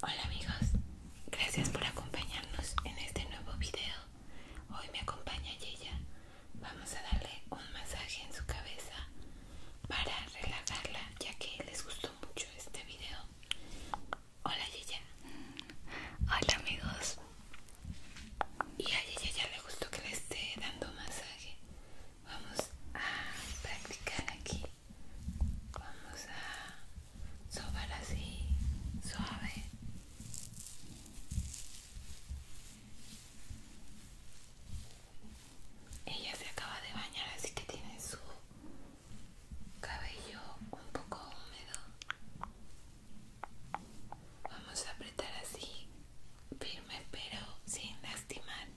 Hola amigos, gracias por acompañarnos en este nuevo video. Hoy me acompaña Yeya. Vamos a darle un masaje en su cabeza para relajarla ya que les gustó mucho este video. Hola Yeya. Hola amigos. Y a Yeya ya le gustó que le esté dando masaje. Vamos a practicar aquí Vamos a sobar así, suave. Ella se acaba de bañar, así que tiene su cabello un poco húmedo. Vamos a apretar así, firme pero sin lastimar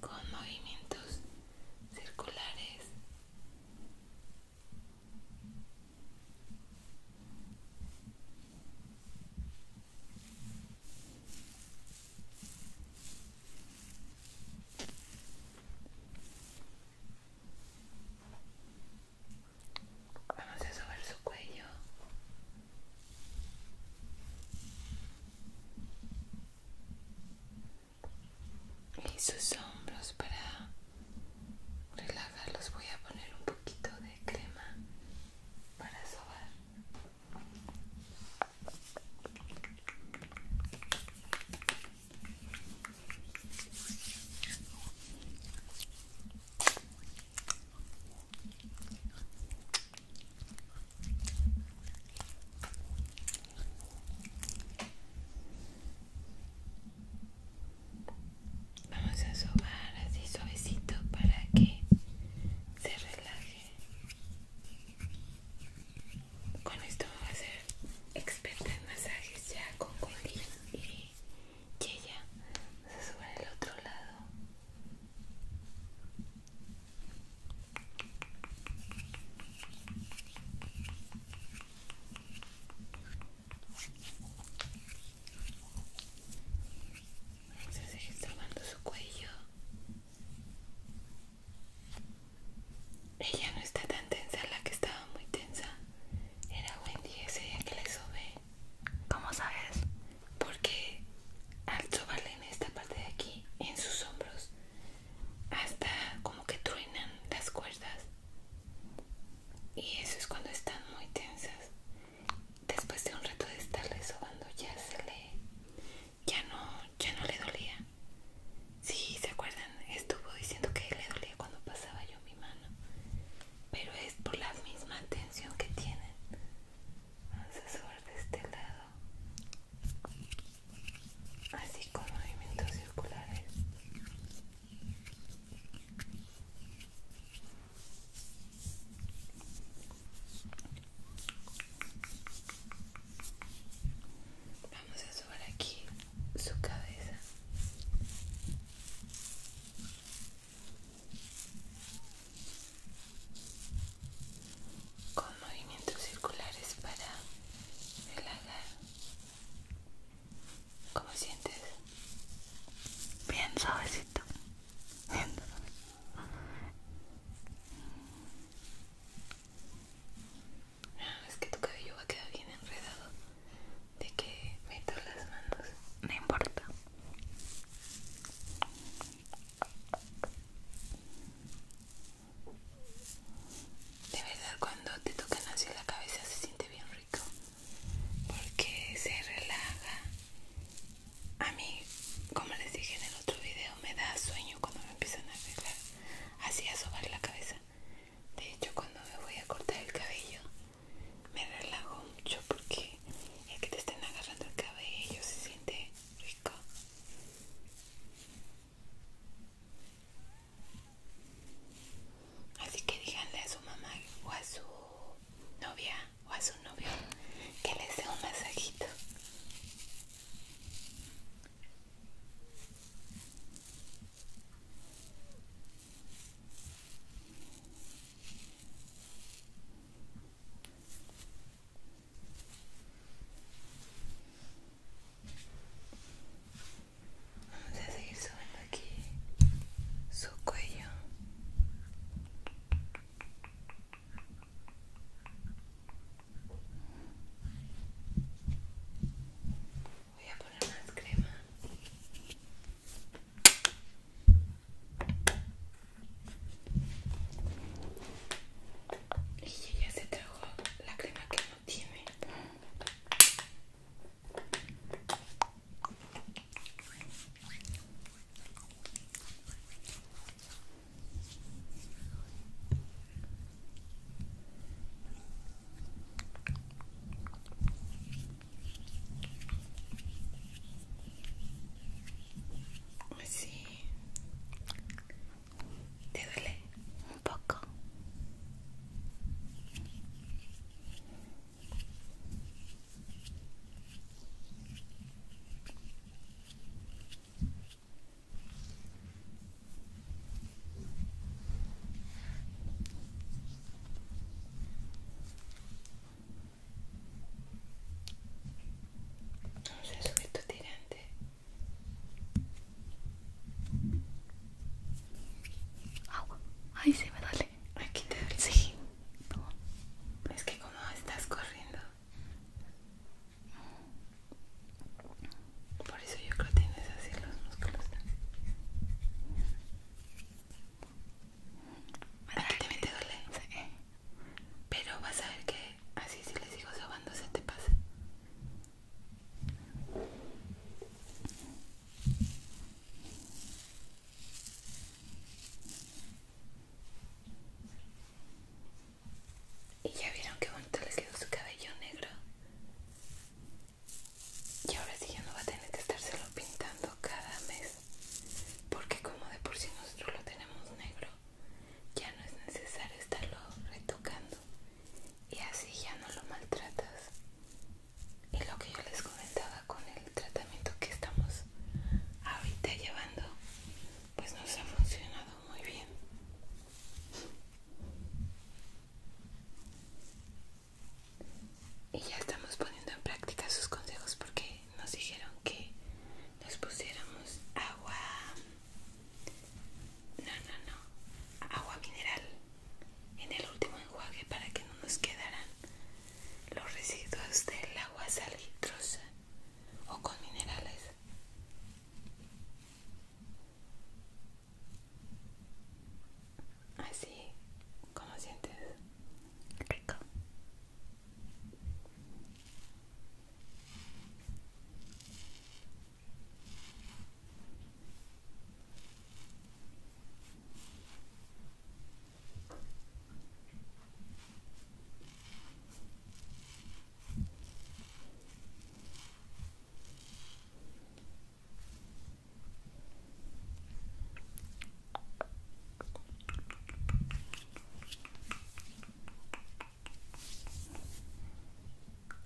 con movimientos circulares Vamos a sobar su cuello. Y sus hombros para relajarlos voy a poner un poquito de crema para sobar. Vamos a sobar así suavecito para que se relaje. Con esto vamos a hacer experta masajes ya con colín y y ella se sube al otro lado se a seguir tomando su cuello ella no está tan tensa la que estaba muy tensa era Wendy ese día que le sobé. ¿Cómo sabes? Porque al sobarle en esta parte de aquí, en sus hombros, hasta como que truenan las cuerdas. Y eso es cuando están muy tensas. Después de un rato de estarle sobando ya se le ya no, ya no le dolía. Sí, ¿se acuerdan? Estuvo diciendo que le dolía cuando pasaba yo mi mano pero es por la misma tensión que tienen. Vamos a subir de este lado, así con movimientos circulares. Vamos a subir aquí su cabeza con movimientos circulares para relajar. ¿Cómo sientes? Bien suavecito. Bien. Es que tu cabello va a quedar bien enredado de que meto las manos. No importa. De verdad cuando te tocan así la cabeza se siente bien rico porque se relaja. A mí, como les dije en el otro video, me da sueño cuando me empiezan a arreglar así a sobar la cabeza. De hecho, cuando me voy a cortar el cabello, me relajo mucho porque el que te estén agarrando el cabello se siente rico. Así que díganle a su mamá o a su novia o a su novio que les dé un masajito. Vamos a seguir subiendo aquí su cuello. Voy a poner más crema. Y ella se trajo la crema que no tiene. Pues sí. ¿Te duele? Un poco. No se tiene tu tirante. Agua. Ay, sí me darle. Aquí te doy. Sí. Es que como estás corriendo. Por eso yo creo que tienes así los músculos. Aparentemente te duele. Eh. Pero vas a ver que así si le sigo sobando se te pasa. Y ya vieron que bonito les quedó su cabello negro. Y ahora sí ya no va a tener que estárselo pintando cada mes. Porque como de por sí nosotros lo tenemos negro, ya no es necesario estarlo retocando. Y así ya no lo maltratas. Y lo que yo les comentaba con el tratamiento que estamos ahorita llevando, pues nos ha funcionado muy bien. Y ya estamos poniendo en práctica sus consejos porque nos dijeron que nos pusiéramos agua... No, no, no. Agua mineral en el último enjuague para que no nos quedaran los residuos del agua salitrosa o con minerales. Así, como sientes? Rico.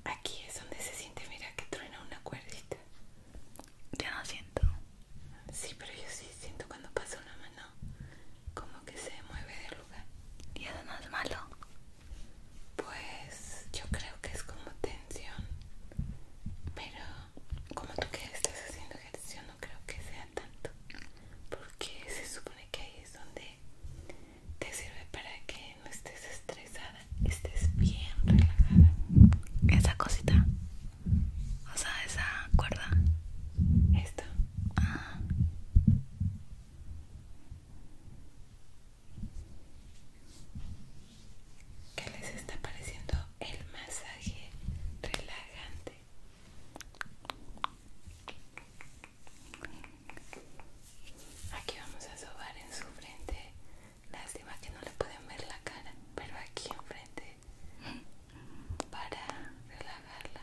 Aquí es donde se siente, mira que truena una cuerdita. Ya no siento. Sí, pero yo sí siento cuando pasa una mano como que se mueve de lugar y eso más malo pues yo creo que es como tensión pero como tú que estás haciendo ejercicio no creo que sea tanto porque se supone que ahí es donde te sirve para que no estés estresada estés bien relajada esa cosita o sea esa cuerda esto ¿Qué les está pareciendo el masaje relajante? Aquí vamos a sobar en su frente. Lástima que no le pueden ver la cara, pero aquí enfrente para relajarla.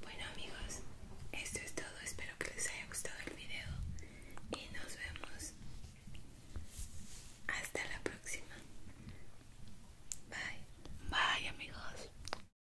Bueno amigos, esto es todo, espero que les haya gustado el video y nos vemos hasta la próxima. Bye. Bye amigos.